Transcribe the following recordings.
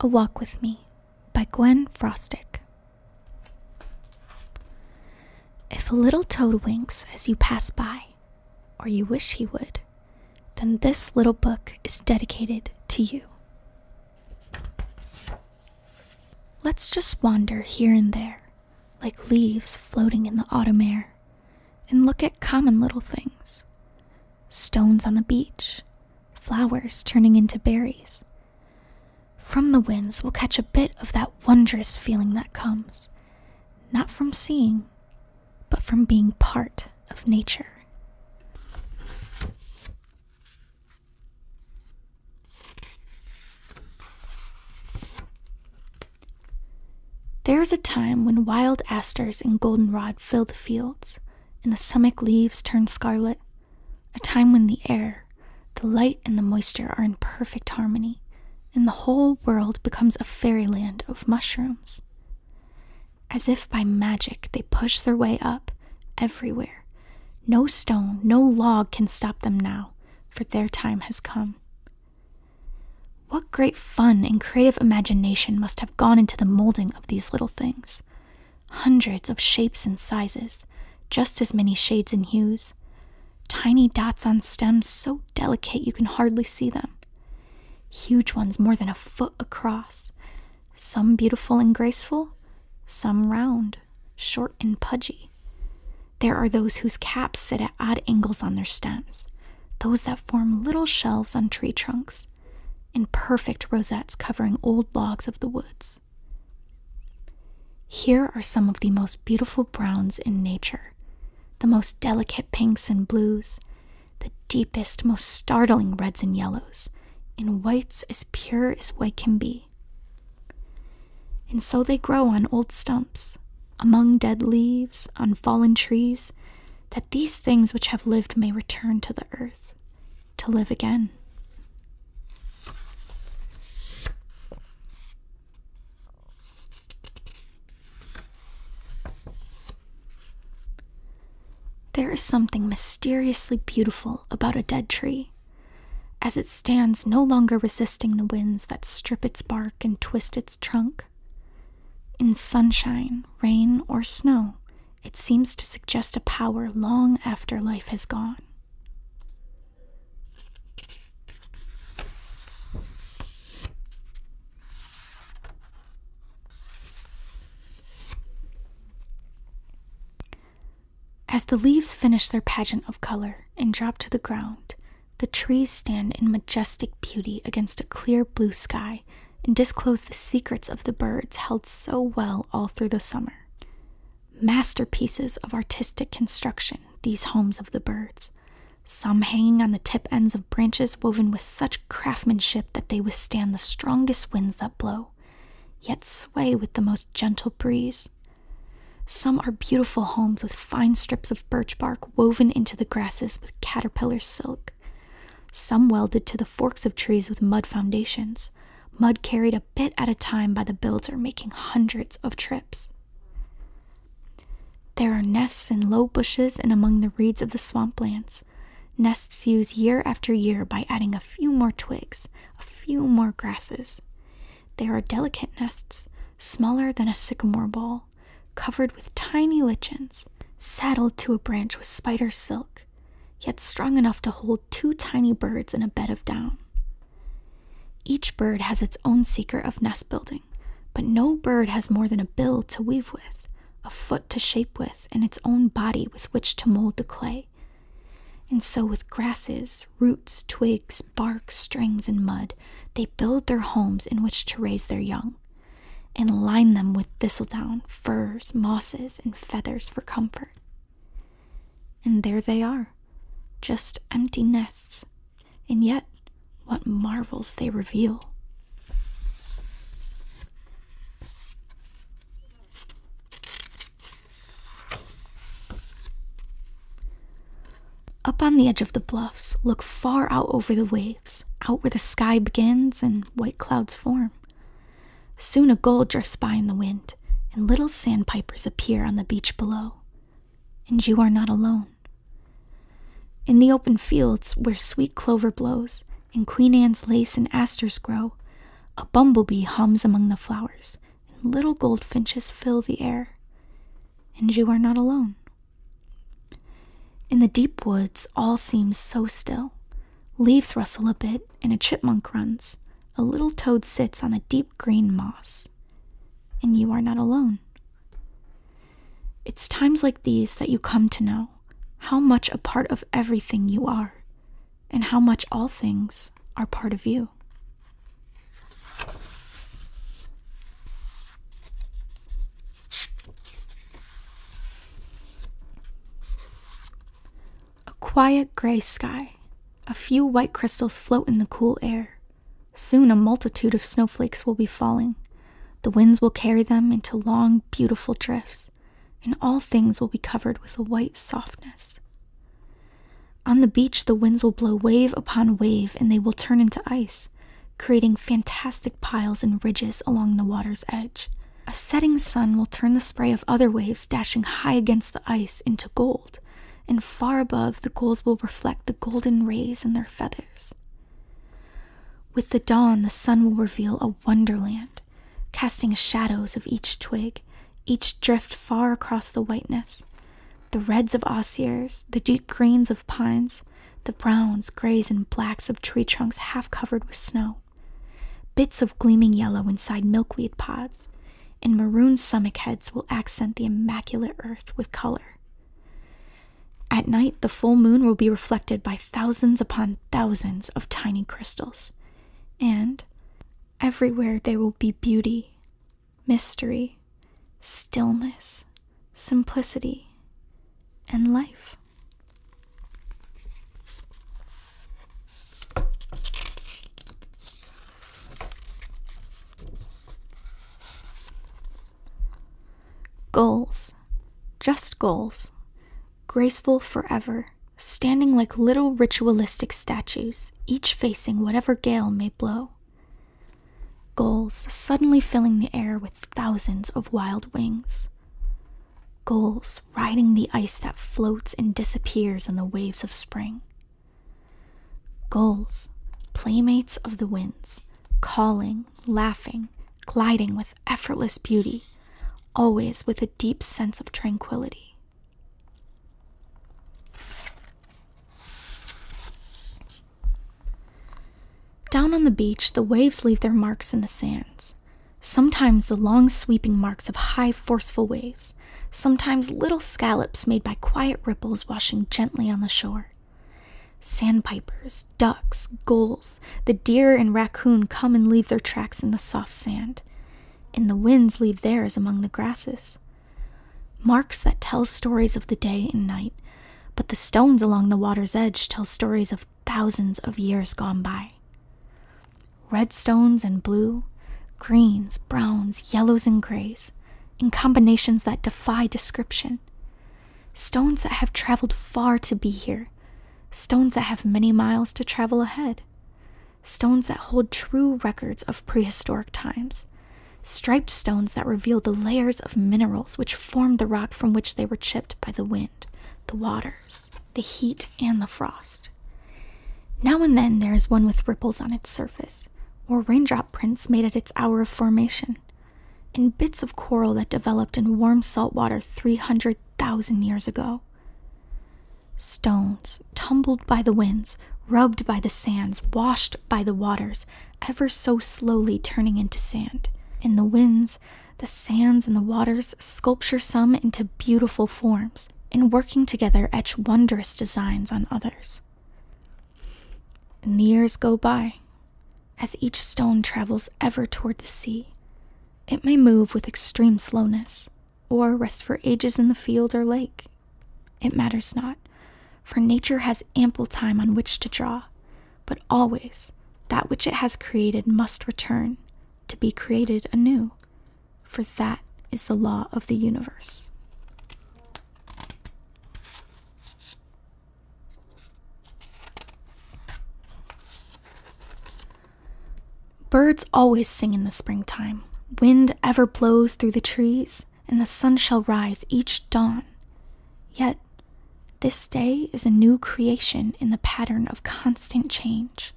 A Walk With Me by Gwen Frostick. If a little toad winks as you pass by, or you wish he would, then this little book is dedicated to you. Let's just wander here and there, like leaves floating in the autumn air, and look at common little things stones on the beach, flowers turning into berries. From the winds, we'll catch a bit of that wondrous feeling that comes, not from seeing, but from being part of nature. There is a time when wild asters and goldenrod fill the fields, and the sumach leaves turn scarlet, a time when the air, the light, and the moisture are in perfect harmony, and the whole world becomes a fairyland of mushrooms. As if by magic, they push their way up, everywhere. No stone, no log can stop them now, for their time has come. What great fun and creative imagination must have gone into the molding of these little things! Hundreds of shapes and sizes, just as many shades and hues. Tiny dots on stems so delicate you can hardly see them. Huge ones more than a foot across, some beautiful and graceful, some round, short, and pudgy. There are those whose caps sit at odd angles on their stems, those that form little shelves on tree trunks, and perfect rosettes covering old logs of the woods. Here are some of the most beautiful browns in nature, the most delicate pinks and blues, the deepest, most startling reds and yellows, in whites as pure as white can be. And so they grow on old stumps, among dead leaves, on fallen trees, that these things which have lived may return to the earth, to live again. There is something mysteriously beautiful about a dead tree, as it stands no longer resisting the winds that strip its bark and twist its trunk. In sunshine, rain, or snow, it seems to suggest a power long after life has gone. As the leaves finish their pageant of color and drop to the ground, the trees stand in majestic beauty against a clear blue sky and disclose the secrets of the birds held so well all through the summer. Masterpieces of artistic construction, these homes of the birds, some hanging on the tip ends of branches woven with such craftsmanship that they withstand the strongest winds that blow, yet sway with the most gentle breeze. Some are beautiful homes with fine strips of birch bark woven into the grasses with caterpillar silk. Some welded to the forks of trees with mud foundations, mud carried a bit at a time by the builder, making hundreds of trips. There are nests in low bushes and among the reeds of the swamplands. Nests used year after year by adding a few more twigs, a few more grasses. They are delicate nests, smaller than a sycamore ball, covered with tiny lichens, saddled to a branch with spider silk, yet strong enough to hold two tiny birds in a bed of down. Each bird has its own secret of nest building, but no bird has more than a bill to weave with, a foot to shape with, and its own body with which to mold the clay. And so, with grasses, roots, twigs, bark, strings, and mud, they build their homes in which to raise their young, and line them with thistledown, furs, mosses, and feathers for comfort. And there they are, just empty nests, and yet what marvels they reveal! Up on the edge of the bluffs, look far out over the waves, out where the sky begins and white clouds form. Soon a gull drifts by in the wind, and little sandpipers appear on the beach below. And you are not alone. In the open fields where sweet clover blows and Queen Anne's lace and asters grow, a bumblebee hums among the flowers and little goldfinches fill the air. And you are not alone. In the deep woods, all seems so still. Leaves rustle a bit, and a chipmunk runs. A little toad sits on the deep green moss. And you are not alone. It's times like these that you come to know how much a part of everything you are, and how much all things are part of you. A quiet gray sky. A few white crystals float in the cool air. Soon a multitude of snowflakes will be falling. The winds will carry them into long, beautiful drifts, and all things will be covered with a white softness. On the beach, the winds will blow wave upon wave, and they will turn into ice, creating fantastic piles and ridges along the water's edge. A setting sun will turn the spray of other waves dashing high against the ice into gold, and far above, the gulls will reflect the golden rays in their feathers. With the dawn, the sun will reveal a wonderland, casting shadows of each twig, each drift far across the whiteness. The reds of osiers, the deep greens of pines, the browns, grays, and blacks of tree trunks half covered with snow. Bits of gleaming yellow inside milkweed pods, and maroon summock heads will accent the immaculate earth with color. At night, the full moon will be reflected by thousands upon thousands of tiny crystals, and everywhere there will be beauty, mystery, stillness, simplicity, and life. Goals. Just goals. Graceful forever, standing like little ritualistic statues, each facing whatever gale may blow. Goals suddenly filling the air with thousands of wild wings. Goals riding the ice that floats and disappears in the waves of spring. Gulls, playmates of the winds, calling, laughing, gliding with effortless beauty, always with a deep sense of tranquility. Down on the beach, the waves leave their marks in the sands. Sometimes the long sweeping marks of high, forceful waves, sometimes little scallops made by quiet ripples washing gently on the shore. Sandpipers, ducks, gulls, the deer and raccoon come and leave their tracks in the soft sand, and the winds leave theirs among the grasses. Marks that tell stories of the day and night, but the stones along the water's edge tell stories of thousands of years gone by. Red stones and blue, greens, browns, yellows, and grays, in combinations that defy description. Stones that have traveled far to be here, stones that have many miles to travel ahead, stones that hold true records of prehistoric times, striped stones that reveal the layers of minerals which formed the rock from which they were chipped by the wind, the waters, the heat, and the frost. Now and then there is one with ripples on its surface or raindrop prints made at its hour of formation, and bits of coral that developed in warm salt water 300,000 years ago. Stones, tumbled by the winds, rubbed by the sands, washed by the waters, ever so slowly turning into sand. In the winds, the sands, and the waters sculpture some into beautiful forms, and working together etch wondrous designs on others. And the years go by. As each stone travels ever toward the sea, it may move with extreme slowness, or rest for ages in the field or lake. It matters not, for nature has ample time on which to draw, but always that which it has created must return, to be created anew, for that is the law of the universe. Birds always sing in the springtime. Wind ever blows through the trees, and the sun shall rise each dawn. Yet, this day is a new creation in the pattern of constant change.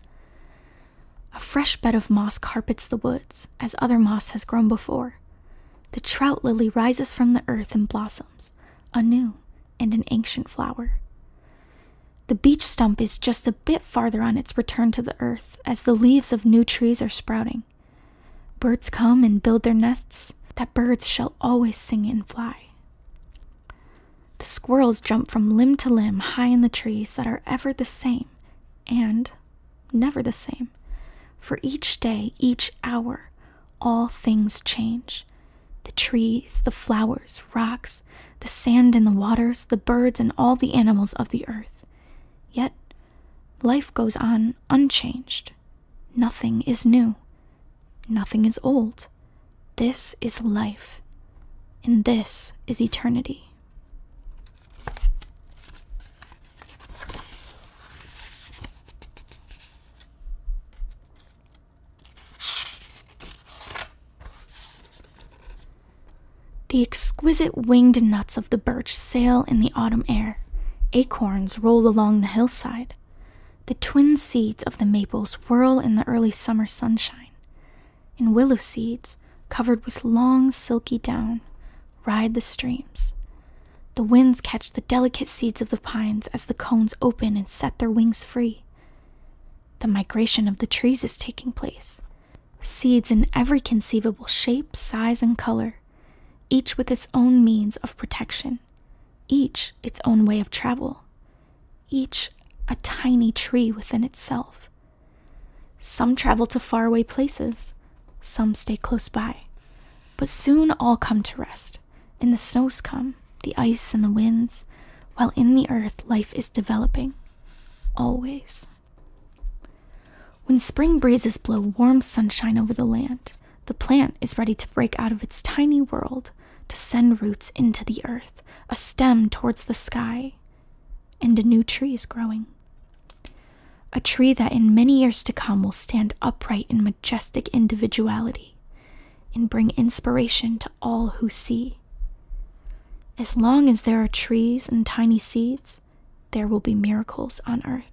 A fresh bed of moss carpets the woods, as other moss has grown before. The trout lily rises from the earth and blossoms, a new and an ancient flower. The beech stump is just a bit farther on its return to the earth, as the leaves of new trees are sprouting. Birds come and build their nests, that birds shall always sing and fly. The squirrels jump from limb to limb high in the trees that are ever the same, and never the same. For each day, each hour, all things change. The trees, the flowers, rocks, the sand and the waters, the birds, and all the animals of the earth. Yet life goes on unchanged. Nothing is new. Nothing is old. This is life. And this is eternity. The exquisite winged nuts of the birch sail in the autumn air. Acorns roll along the hillside. The twin seeds of the maples whirl in the early summer sunshine. In willow seeds covered with long silky down ride the streams. The winds catch the delicate seeds of the pines as the cones open and set their wings free. The migration of the trees is taking place. Seeds in every conceivable shape, size, and color, each with its own means of protection, each its own way of travel, each a tiny tree within itself, some travel to faraway places, some stay close by. But soon all come to rest, and the snows come, the ice and the winds, while in the earth life is developing. Always. When spring breezes blow warm sunshine over the land, the plant is ready to break out of its tiny world, to send roots into the earth, a stem towards the sky, and a new tree is growing. A tree that in many years to come will stand upright in majestic individuality and bring inspiration to all who see. As long as there are trees and tiny seeds, there will be miracles on earth.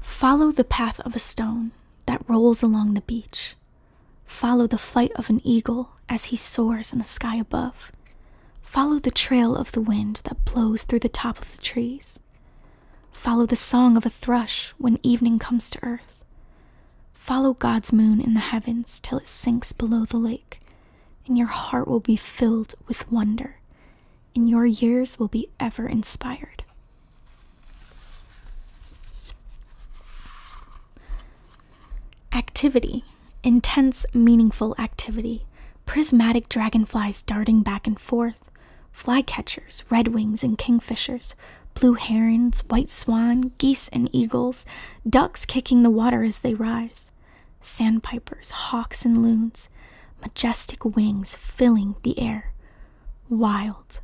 Follow the path of a stone that rolls along the beach. Follow the flight of an eagle as he soars in the sky above. Follow the trail of the wind that blows through the top of the trees. Follow the song of a thrush when evening comes to earth. Follow God's moon in the heavens till it sinks below the lake, and your heart will be filled with wonder and your years will be ever inspired. Activity intense, meaningful activity, prismatic dragonflies darting back and forth, flycatchers, red wings, and kingfishers. Blue herons, white swan, geese and eagles, ducks kicking the water as they rise, sandpipers, hawks and loons, majestic wings filling the air. Wild,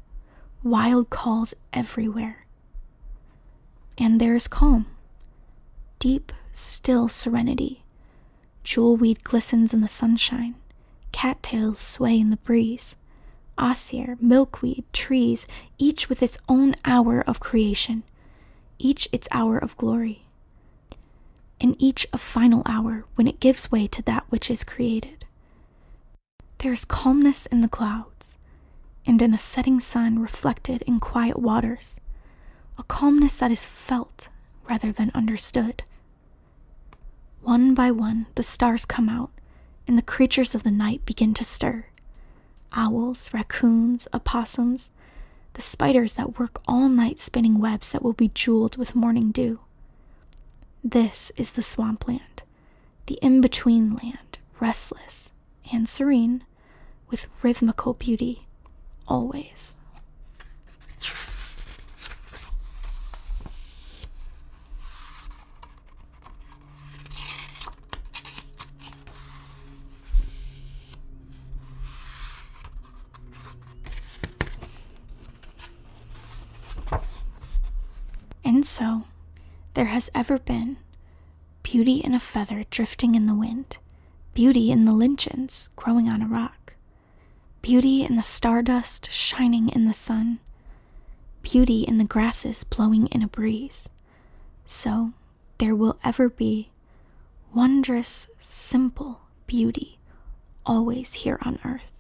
wild calls everywhere. And there is calm, deep, still serenity. Jewelweed glistens in the sunshine, cattails sway in the breeze. Osier, milkweed, trees, each with its own hour of creation, each its hour of glory. In each a final hour when it gives way to that which is created. There is calmness in the clouds, and in a setting sun reflected in quiet waters, a calmness that is felt rather than understood. One by one, the stars come out, and the creatures of the night begin to stir. Owls, raccoons, opossums, the spiders that work all night spinning webs that will be jeweled with morning dew. This is the swampland, the in between land, restless and serene, with rhythmical beauty always. And so, there has ever been beauty in a feather drifting in the wind, beauty in the lichens growing on a rock, beauty in the stardust shining in the sun, beauty in the grasses blowing in a breeze. So, there will ever be wondrous, simple beauty always here on earth.